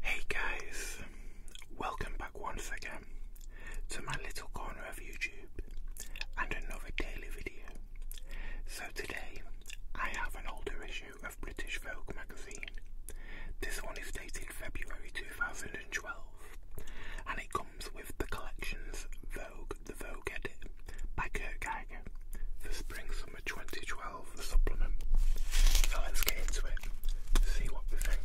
Hey guys, welcome back once again to my little corner of YouTube and another daily video. So today I have an older issue of British Vogue magazine. This one is dated February 2012 and it comes comes with the collections Vogue, the Vogue edit by Kurt Geiger for Spring Summer 2012, the supplement. So let's get into it, see what we think.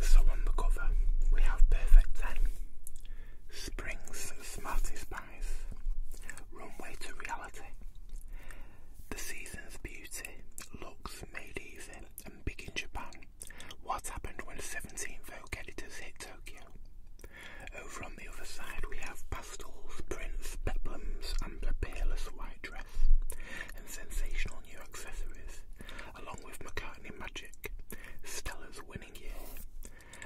So on the cover, we have Perfect 10, Spring's smartest Runway to Reality, The Season's Beauty, Looks Made Easy, and Big in Japan. What happened when 17 Vogue editors hit Tokyo? Over on the other side, we have pastels, prints, peplums, and a peerless white dress, and sensational new accessories, along with McCartney Magic, Stella's winning year,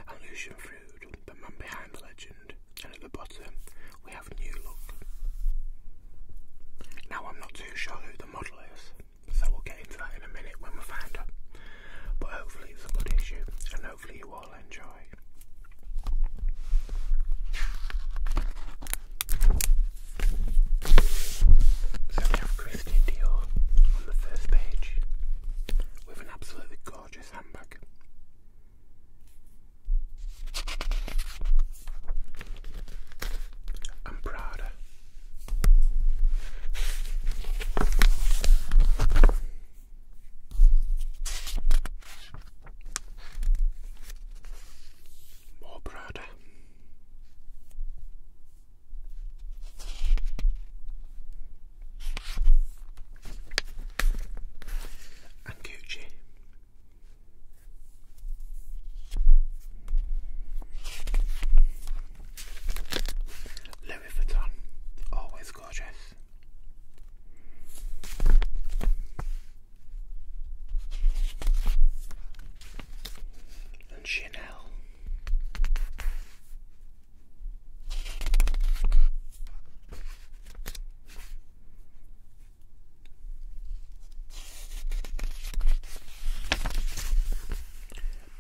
and Lucian Froude, the man behind the legend, and at the bottom we have New Look. Now I'm not too sure who the model is, so we'll get into that in a minute when we find her. But hopefully it's a good issue and hopefully you all enjoy. So we have Christian Dior on the first page with an absolutely gorgeous handbag. I'm proud. More proud and Gucci. Louis Vuitton, always gorgeous. And Chanel.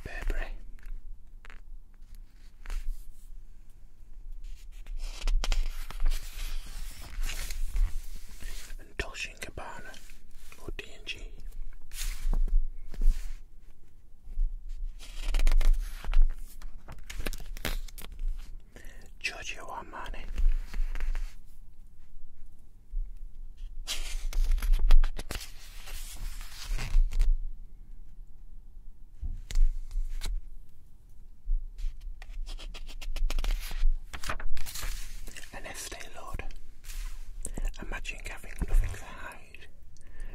Burberry. And Dolce & Gabbana or D&G Giorgio Armani. An estate lord. Imagine having nothing to hide,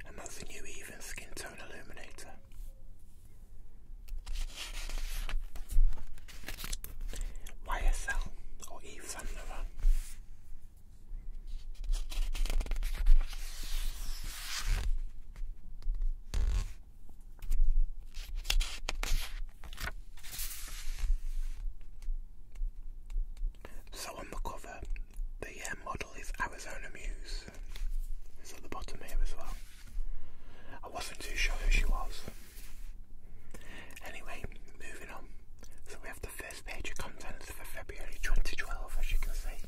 and that's the new even skin tone illuminator. YSL or Yves Saint So on the cover, the model is Arizona Muse. It's at the bottom here as well. I wasn't too sure who she was. Anyway, moving on. So we have the first page of contents for February 2012, as you can see.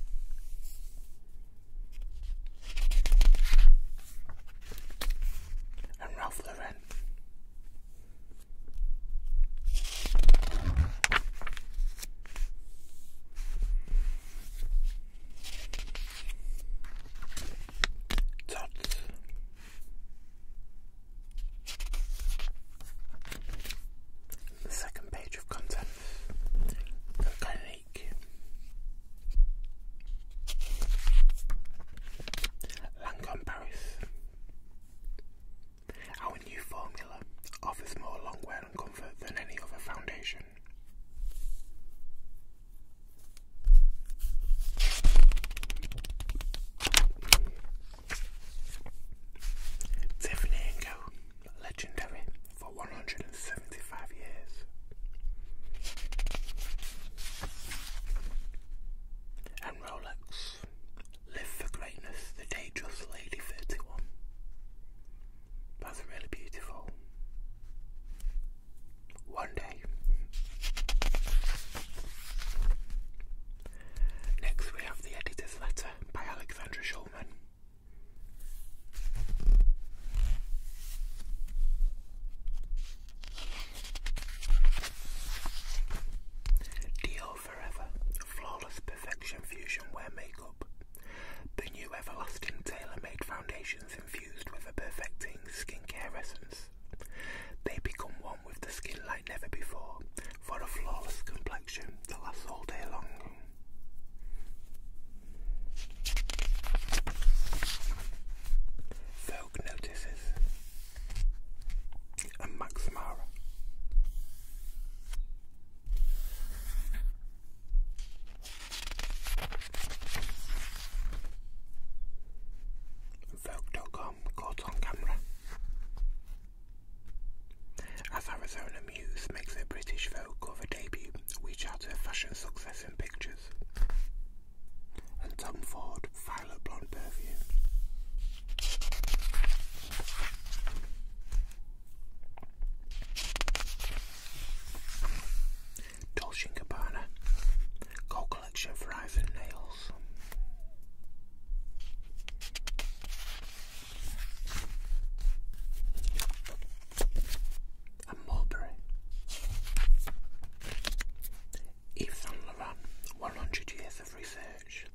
And Ralph Lauren. Tots. The second page of contents. Volcanic. Lancome Paris. Our new formula offers more long wear and comfort than any other foundation. Tiffany & Co. Legendary for 175 years. And Rolex. Live for greatness, the Dangerous Lady 31. Both really beautiful. One day. Next, we have the editor's letter by Alexandra Schulman. Dior Forever Flawless Perfection Fusion Wear Makeup the new Everlasting Tailor-Made Foundations infused with a perfecting skincare essence. They become one with the skin like never before for a flawless complexion that lasts all day long. Vogue Notices and Max Mara. Vogue.com caught on camera. As Arizona Muse makes her British Vogue cover debut, we chat her fashion success in pictures. And Tom Ford, Violet Blonde Perfume. Dolce & Gabbana Gold Collection for eyes and nails. And Mulberry. Yves 100 years of research.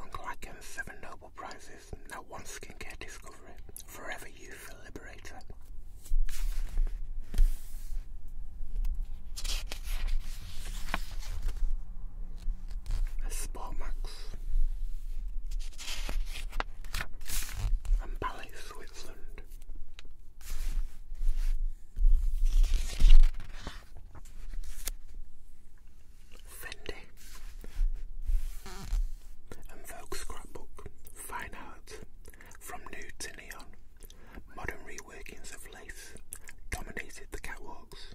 Uncle Atkins, Nobel Prizes Services, No One Skincare Discovery, Forever Youthful Liberator. A Sportmax. And Ballet Switzerland. Fendi and Vogue Scrapbook fine art, from nude to neon, modern reworkings of lace dominated the catwalks,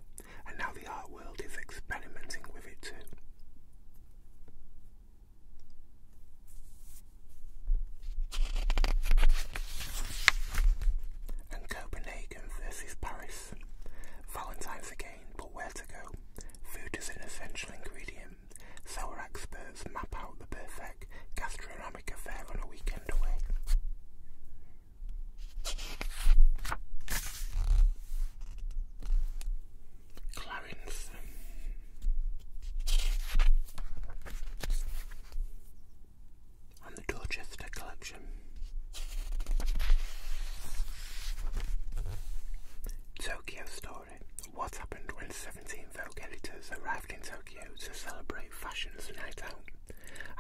and now the art world is experimenting with it too. And Copenhagen versus Paris. Valentine's again, but where to go? Food is an essential ingredient sour experts map out the perfect gastronomic affair on a weekend away. Clarence. And the Dorchester Collection. Tokyo Story. What happened when 17 Vogue editors arrived in Tokyo to celebrate fashion's night out?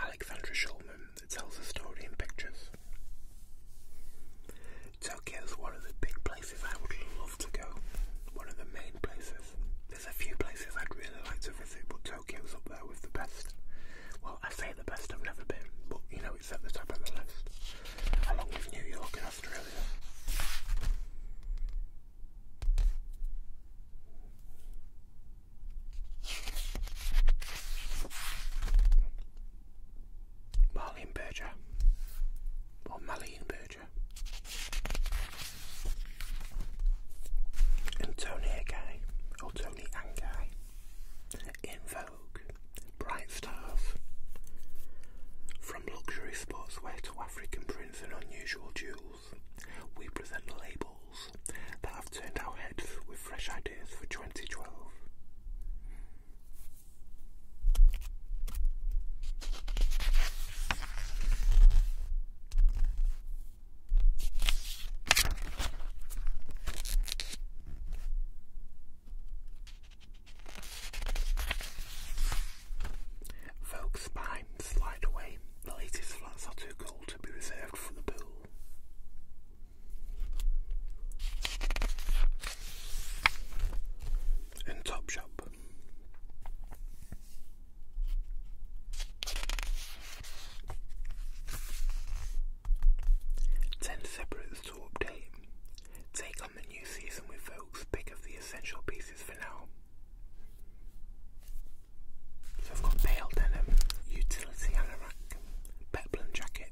Alexandra Schulman tells the story in pictures. Tokyo is one of the big places I would love to go. One of the main places. There's a few places I'd really like to visit, but Tokyo's up there with the best. Well, I say the best I've never been, but you know it's at the top of the list. Along with New York Australia. Marlene Berger or Marlene Berger and Tony or Tony Angai in Vogue bright stars. From luxury sportswear to African prints and unusual jewels, we present labels that have turned our heads with fresh ideas for 2012. Folks, behind the slide away, the latest flats are too cool to be reserved for the pool. And Topshop. Ten separate store update. Take the new season with Vogue's pick of the essential pieces for now. So I've got pale denim, utility anorak, peplum jacket,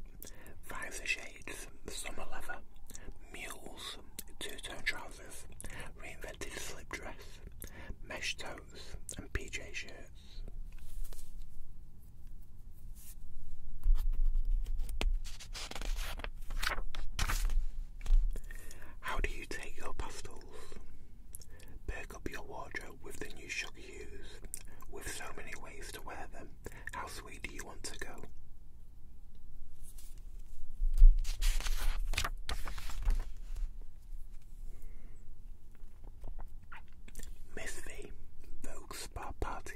visor shades, summer leather, mules, two-tone trousers, reinvented slip dress, mesh toes and PJ shirts. How do you take your pastels? Pick up your wardrobe with the new sugar hues. With so many ways to wear them, how sweet do you want to go? Miss V, Vogue Spa Party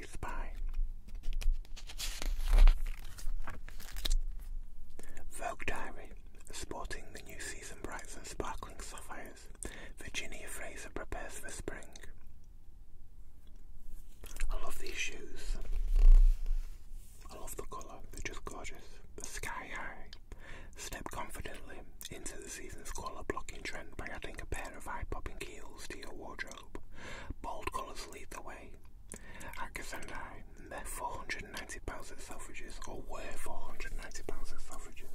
Vogue Diary, sporting the new season brights and sparkling sapphires, Virginia Fraser prepares for spring. I love these shoes. I love the colour, they're just gorgeous. The sky high. Step confidently into the season's colour blocking trend by adding a pair of eye popping heels to your wardrobe. Bold colours lead the way. Atkins and I met £490 at Selfridges, or were £490 at Selfridges.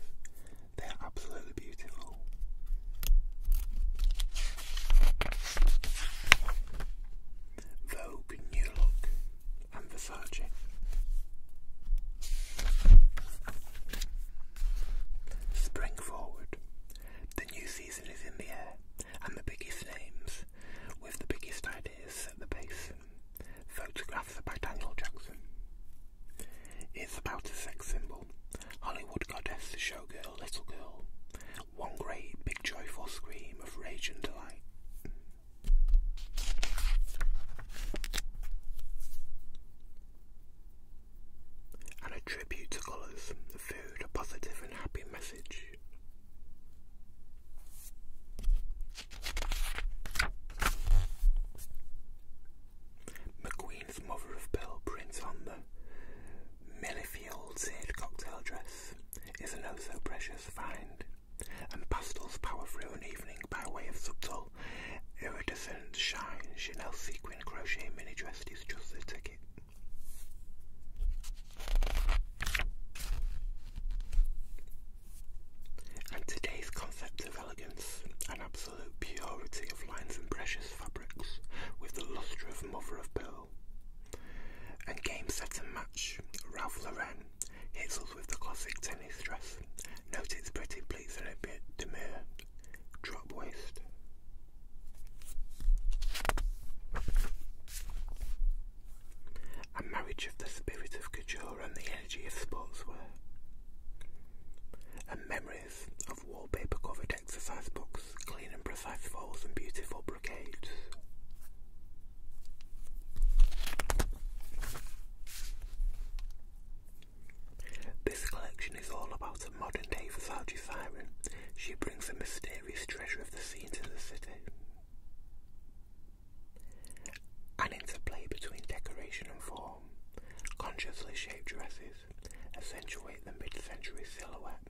They are absolutely beautiful. Vogue New Look and Versace. Spring forward. The new season is in the air, and the biggest names with the biggest ideas at the base. Photographs by Daniel Jackson. It's about a sex symbol. Hollywood goddess, showgirl, little girl. One great big joyful scream of rage and delight. And a tribute to colours, the food, a positive and happy message. McQueen's mother of pearl print on the Millefield seared cocktail dress is an oh so precious find, and pastels power through an evening by way of subtle, iridescent shine. Chanel sequin crochet mini dress is just the ticket. And today's concept of elegance and absolute purity of lines and precious fabrics with the lustre of mother of pearl. And game set and match, Ralph Lauren hits with the classic tennis dress. Note its pretty pleats and a bit demure. Drop waist. A marriage of the spirit of couture and the energy of sportswear. And memories of wallpaper covered exercise books, clean and precise folds, and beautiful brocades. This collection is all about a modern day Versace siren. She brings a mysterious mysterious treasure of the sea into the city. An interplay between decoration and form, consciously shaped dresses accentuate the mid-century silhouette,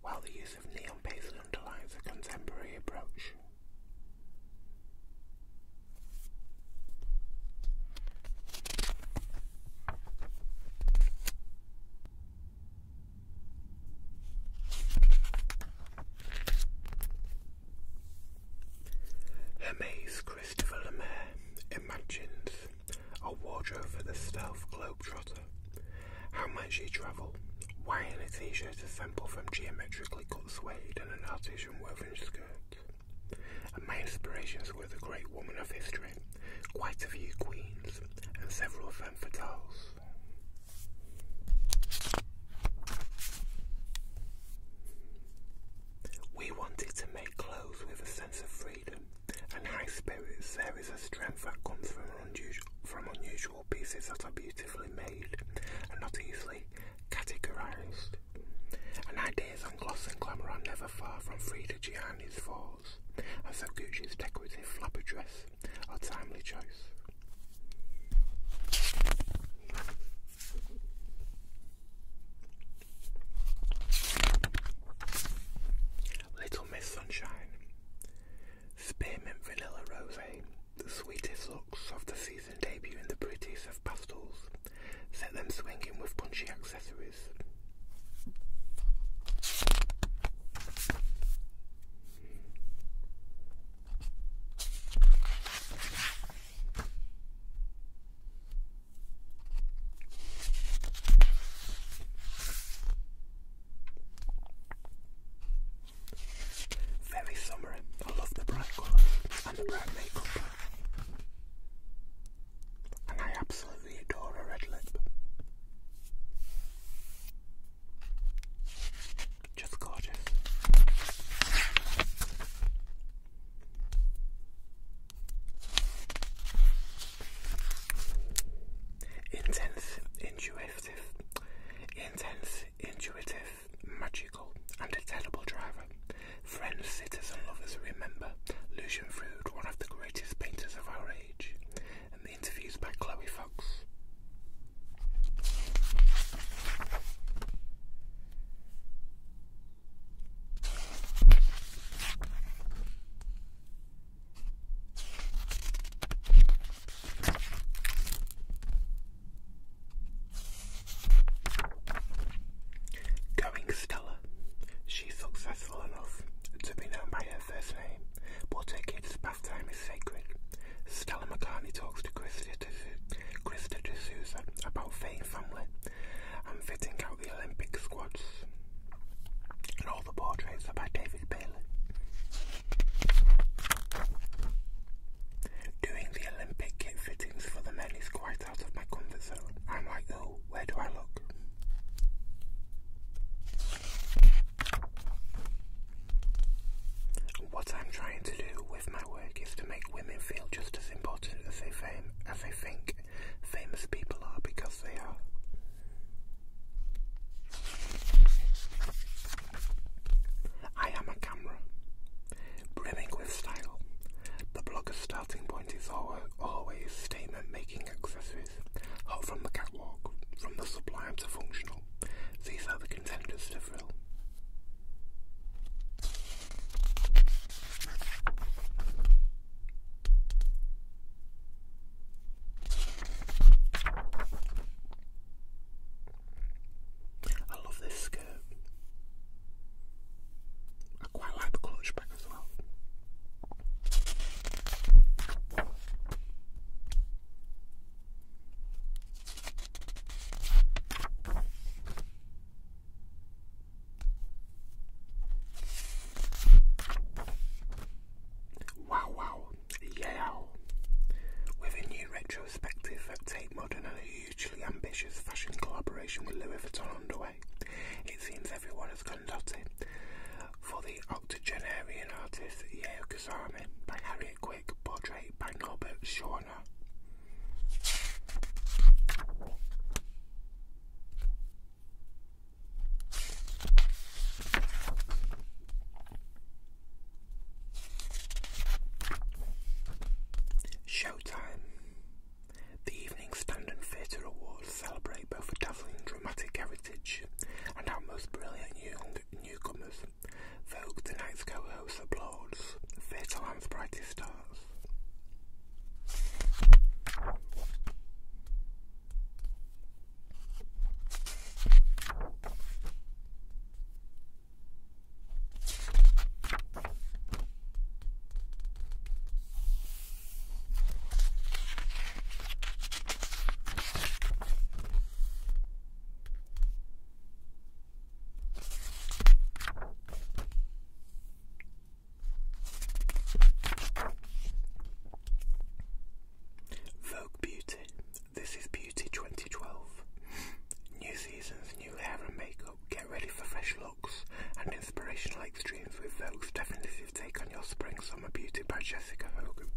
while the use of neon basil underlines a contemporary approach. Hermes Christopher Lemaire imagines a wardrobe for the stealth globetrotter. How much she travel? Wearing a t-shirt assembled from geometrically cut suede and an artisan woven skirt? And my inspirations were the great women of history, quite a few queens, and several femme fatales. We wanted to make clothes with a sense of freedom and high spirits. There is a strength that comes from unusual, pieces that are beautifully made and not easily categorized. And ideas on gloss and glamour are never far from Frida Gianni's falls, and so Gucci's decorative flapper dress a timely choice. Little Miss Sunshine, Spearmint Vanilla Rose, the sweetest looks of the season debut in the prettiest of pastels, set them swinging with punchy accessories. Very summery. I love the bright colours and the bright makeup. And I absolutely adore a red lip. Just gorgeous. Intense, intuitive, intense, intuitive, magical, and a terrible driver. Friends, citizens, and lovers remember Lucian Froude, one of the greatest painters of our age. Going Stella. She's successful enough to be known by her first name, but her kid's bath time is sacred. Stella McCartney talks to Krista D'Souza about Fame Family and fitting out the Olympic squads. And all the portraits are by David Bailey. Doing the Olympic kit fittings for the men is quite out of my comfort zone. I'm like, oh, where do I look? What I'm trying to do with my work is to make women feel just as important as they, they think famous people are because they are. I am a camera, brimming with style. The blogger's starting point is always statement making accessories, hot from the catwalk, from the sublime to functional. These are the contenders to Thrill. I love this skirt. I quite like the clutch back as well. Wow, wow, yeah. With a new retrospective at Tate Modern and a hugely ambitious fashion collaboration with Louis Vuitton underway, it seems everyone has gone dotted for the octogenarian artist Yeo Kazami by Harriet Quick, portrait by Norbert Schorner. Showtime. The Evening Standard Theatre Awards celebrate both a dazzling dramatic heritage and our most brilliant young newcomers. Vogue, the night's co-host, applauds. Fatal Hand's brightest stars. Vogue Beauty. This is Beauty 2012. New seasons, new hair and makeup. Get ready for fresh looks and inspirational extremes with Vogue's Definitely take on your spring summer beauty by Jessica Hogan.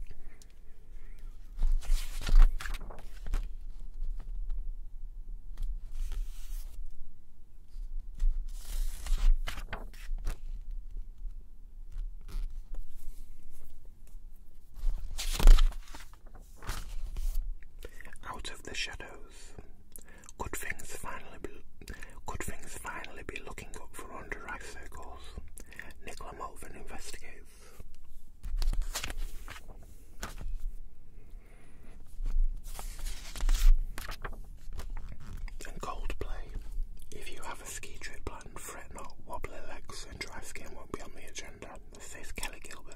Out of the shadows, could things finally be looking up for under eye circles? Nicola Mulvin investigates and Coldplay. If you have a ski trip planned, fret not, wobbly legs and dry skin won't be on the agenda. This says Kelly Gilbert.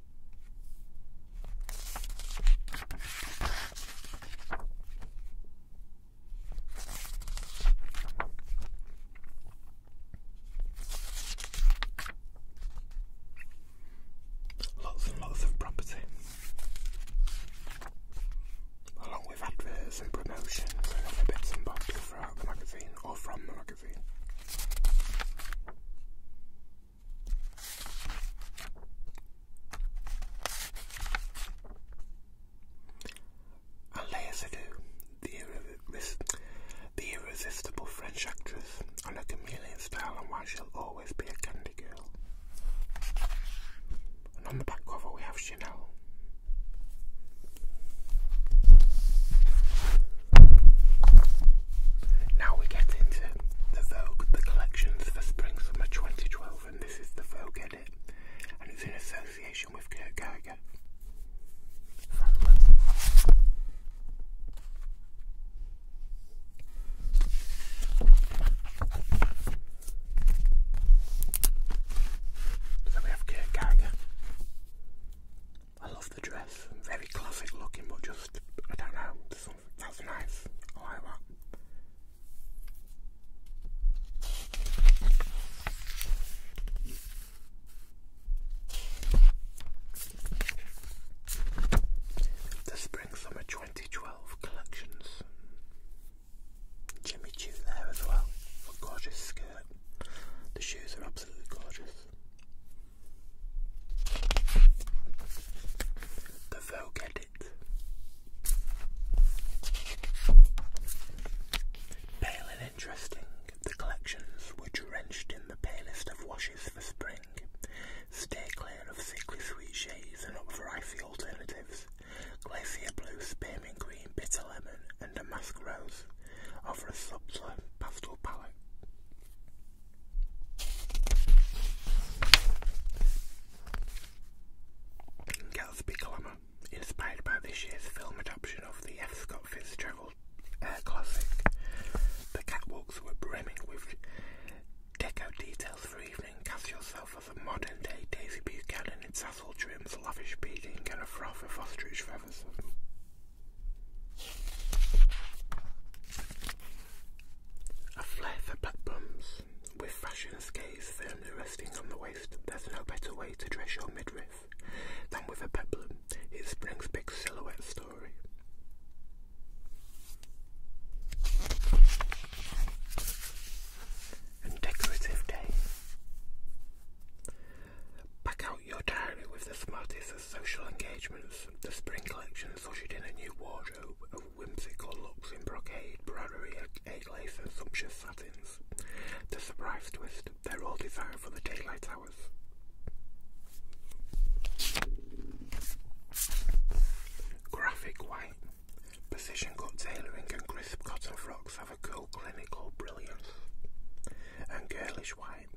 Lots and lots of property, along with adverts and promotions and other bits and bobs throughout the magazine or from the magazine. Alea Seydoux, the, irresistible French actress, on a chameleon style and why she'll always be a candy girl. And on the back cover we have Chanel. Now we get into the Vogue, the collections for spring summer 2012, and this is the Vogue edit, and it's in association with Kurt Geiger. So we have Kurt Geiger, I love the dress, very classic looking, but just, I don't know, some, that's nice. I want The Spring Summer 2012 collections. Jimmy Choo there as well. A gorgeous skirt. The shoes are absolutely gorgeous. The Vogue edit. Pale and interesting, the collections were drenched in the palest of washes for spring. Stay clear of sickly sweet shades and up for icy alternatives. Glacier blue, spearmint green, bitter lemon, and a musk rose offer a subtler pastel palette. Gatsby Glamour, inspired by this year's film adaptation of the F. Scott Fitzgerald classic. The catwalks were brimming with deco details for evening. Cast yourself as a modern day Daisy Buchanan in tassel trims, lavish beading, and a froth of ostrich feathers. A flair for black bums. With fashion's gaze firmly resting on the waist, there's no better way to dress your midriff than with a peplum. It springs big silhouette story. And decorative day. Back out your diary with the smartest social engagements, the spring collection ushered in a new wardrobe of whimsical looks in brocade, broderie, egg lace and sumptuous satins. The surprise twist, they're all designed for the daylight hours. Graphic white. Precision cut tailoring and crisp cotton frocks have a cool clinical brilliance. And girlish white.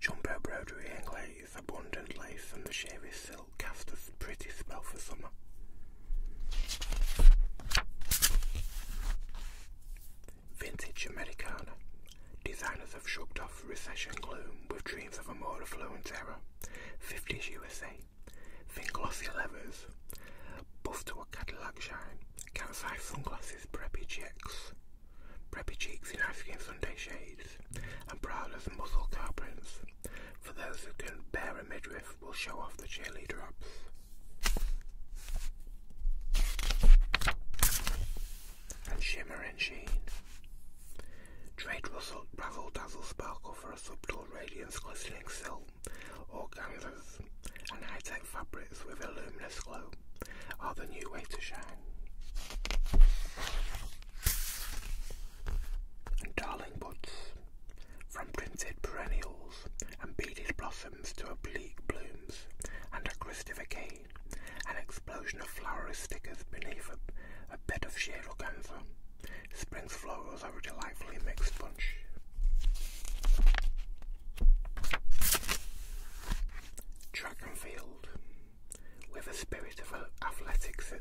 Jumbo broderie and its abundant lace and the sheery silk cast a pretty spell for summer. Vintage Americana. Designers have shrugged off recession gloom with dreams of a more affluent era. 50s USA. Thin glossy leathers. Buff to a Cadillac shine. Cat-size sunglasses preppy chicks preppy cheeks in African Sunday shades, and prowlers and muscle car prints. For those who can bear a midriff, will show off the jelly drops. And shimmer and sheen. Trade rustle, razzle dazzle sparkle for a subtle radiance glistening silk, or organzas, and high tech fabrics with a luminous glow are the new way to shine. And Darling buds, from printed perennials and beaded blossoms to oblique blooms and a cristificane, an explosion of flowery stickers beneath a, a bed of sheer organza. Spring's flowers are a delightfully mixed bunch. Track and field with a spirit of athletics,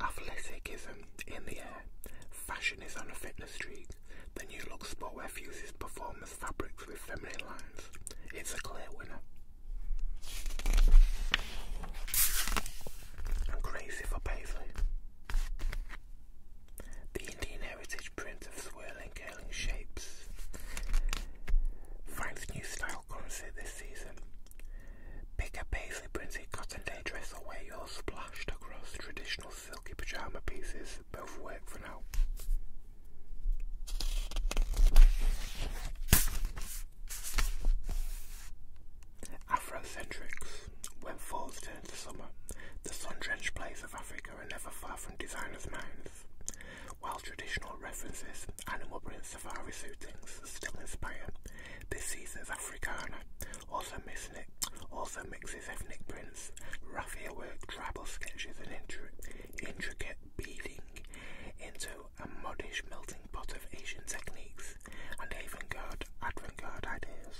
athleticism in the air. Fashion is on a fitness streak. The new look sportwear fuses performance fabrics with feminine lines. It's a clear winner. I'm crazy The Indian heritage print of swirling, curling shapes finds new style currency this season. Pick a paisley printed cotton day dress or wear your splashed across traditional silky pyjama pieces. Both work for now. Afrocentrics. When falls turn to summer, the sun-drenched places of Africa are never far from designers' minds. While traditional references, animal prints safari shootings still inspire this season's Africana, also missing also mixes ethnic prints, raffia work, tribal sketches and intricate beading into a modish melting pot of Asian techniques and avant-garde avant-garde ideas.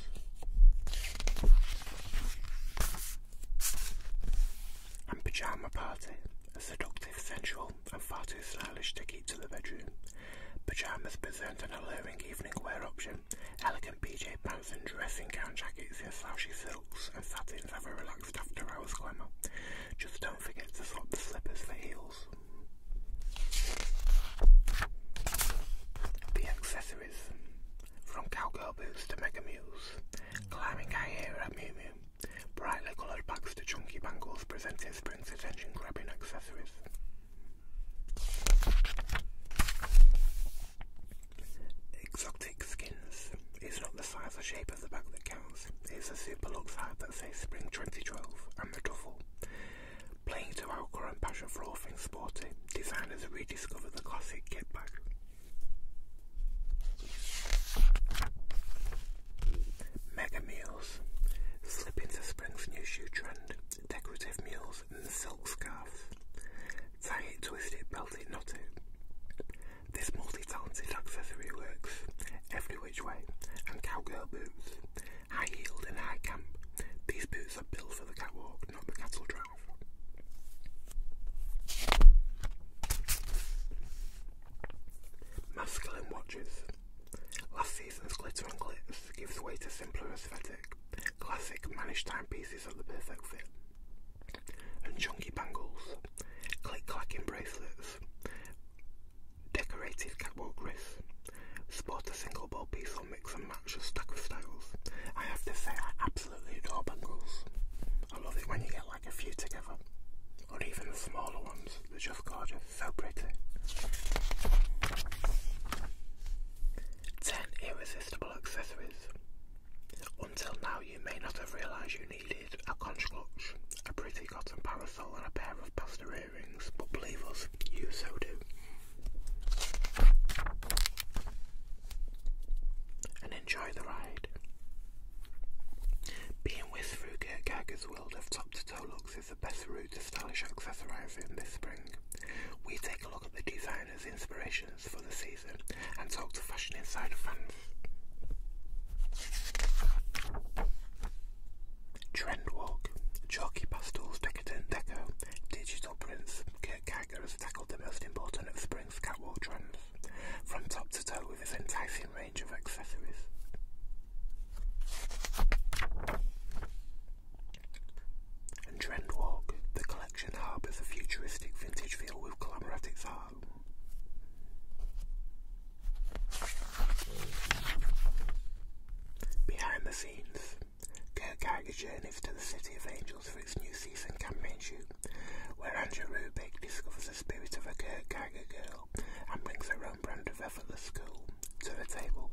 And Pajama Party, seductive, sensual and far too stylish to keep to the bedroom. Pajamas present an alluring evening wear option. Elegant PJ pants and dressing gown jackets in slouchy silks and satins have a relaxed after hours climb up. Just don't forget to swap the slippers for heels. The accessories from cowgirl boots to mega mules, climbing high air at Mew Brightly coloured packs to chunky bangles present presenting Spring's attention-grabbing accessories. Exotic skins. It's not the size or shape of the bag that counts. It's the super luxe hat that says Spring 2012 and the duffel. Playing to alcohol and passion for all things sporty, designers rediscover the classic kit bag. Mega Meals. Slip into spring's new shoe trend, decorative mules and silk scarves. Tie it, twist it, belt it, knot it. This multi-talented accessory works every which way, and cowgirl boots. High-heeled and high-camp, these boots are built for the catwalk, not the cattle drive. Masculine watches. Last season's glitter and glitz gives way to simpler aesthetic, classic managed timepieces are the perfect fit, and chunky bangles, click-clacking bracelets, decorated catwalk wrists, sport a single ball piece or mix and match a stack of styles. I have to say I absolutely adore bangles. I love it when you get like a few together or even the smaller ones. that just gorgeous, so pretty. 10 Irresistible Accessories. Until now, you may not have realised you needed a clutch, a pretty cotton parasol, and a pair of pasta earrings, but believe us, you so do. And enjoy the ride. Being whisked through Kurt Geiger's World of Top to Toe looks is the best route to stylish accessorising this spring. We take a look at the designers' inspirations for the season and talk to fashion insider fans. Chalky pastels, decadent deco, digital prints, Kurt Geiger has tackled the most important of spring's catwalk trends. From top to toe with his enticing and Trendwalk, the collection harbours a futuristic vintage feel with glamour Behind the scenes, Kirk Hager journeys to the City of Angels for its new season campaign shoot, where Andrew Rubik discovers the spirit of a Kirk girl and brings her own brand of effortless school to the table.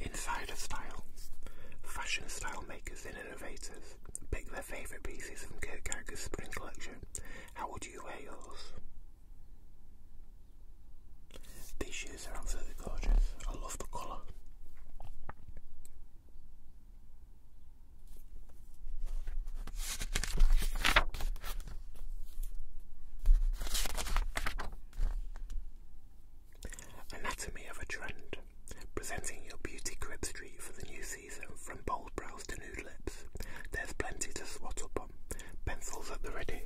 Insider style. Fashion style makers innovators pick their favourite pieces from Kurt Geiger's spring collection. How would you wear yours? These shoes are absolutely gorgeous. I love the colour. Anatomy of a Trend Presenting your beauty crib street for the new season from bold brows to nude lips. There's plenty to swat up on. Pencils at the ready.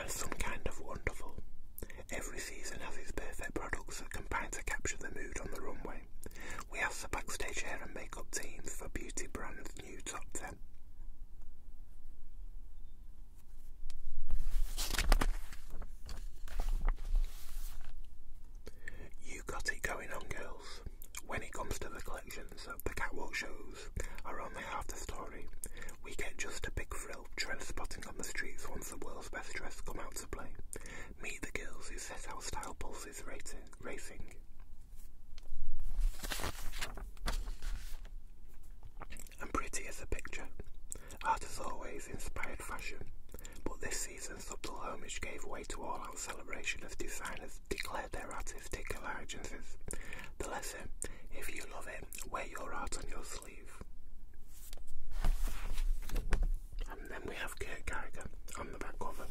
And some kind of wonderful. Every season has its perfect products that combine to capture the mood on the runway. We asked the backstage hair and makeup teams for beauty brands' new top 10. You got it going on, girls. When it comes to the collections, the catwalk shows are only half the story. We get just a big thrill trend spotting on the streets once the world's best dressed come out to play. Meet the girls who set out style pulses racing. And pretty as a picture. Art has always inspired fashion, but this season's subtle homage gave way to all out celebration as designers declared their artistic allegiances. The lesson if you love it, wear your art on your sleeve sleeve. And then we have Kurt Gallagher on the back cover.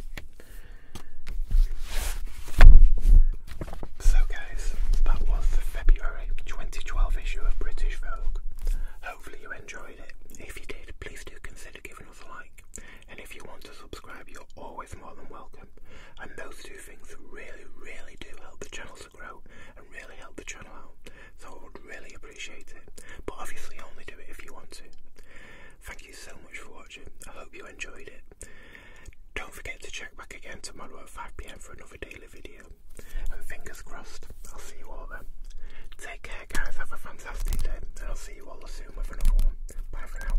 So, guys, that was the February 2012 issue of British Vogue. Hopefully, you enjoyed it. If you did, please do consider giving us a like. And if you want to subscribe, you're always more than welcome. And those two things really, really do help the channel grow and really help the channel out, so I would really appreciate it. But obviously, only do it if you want to. Thank you so much for watching. I hope you enjoyed it. Don't forget to check back again tomorrow at 5 pm for another daily video. And fingers crossed, I'll see you all then. Take care, guys. Have a fantastic day, and I'll see you all soon with another one. Bye for now.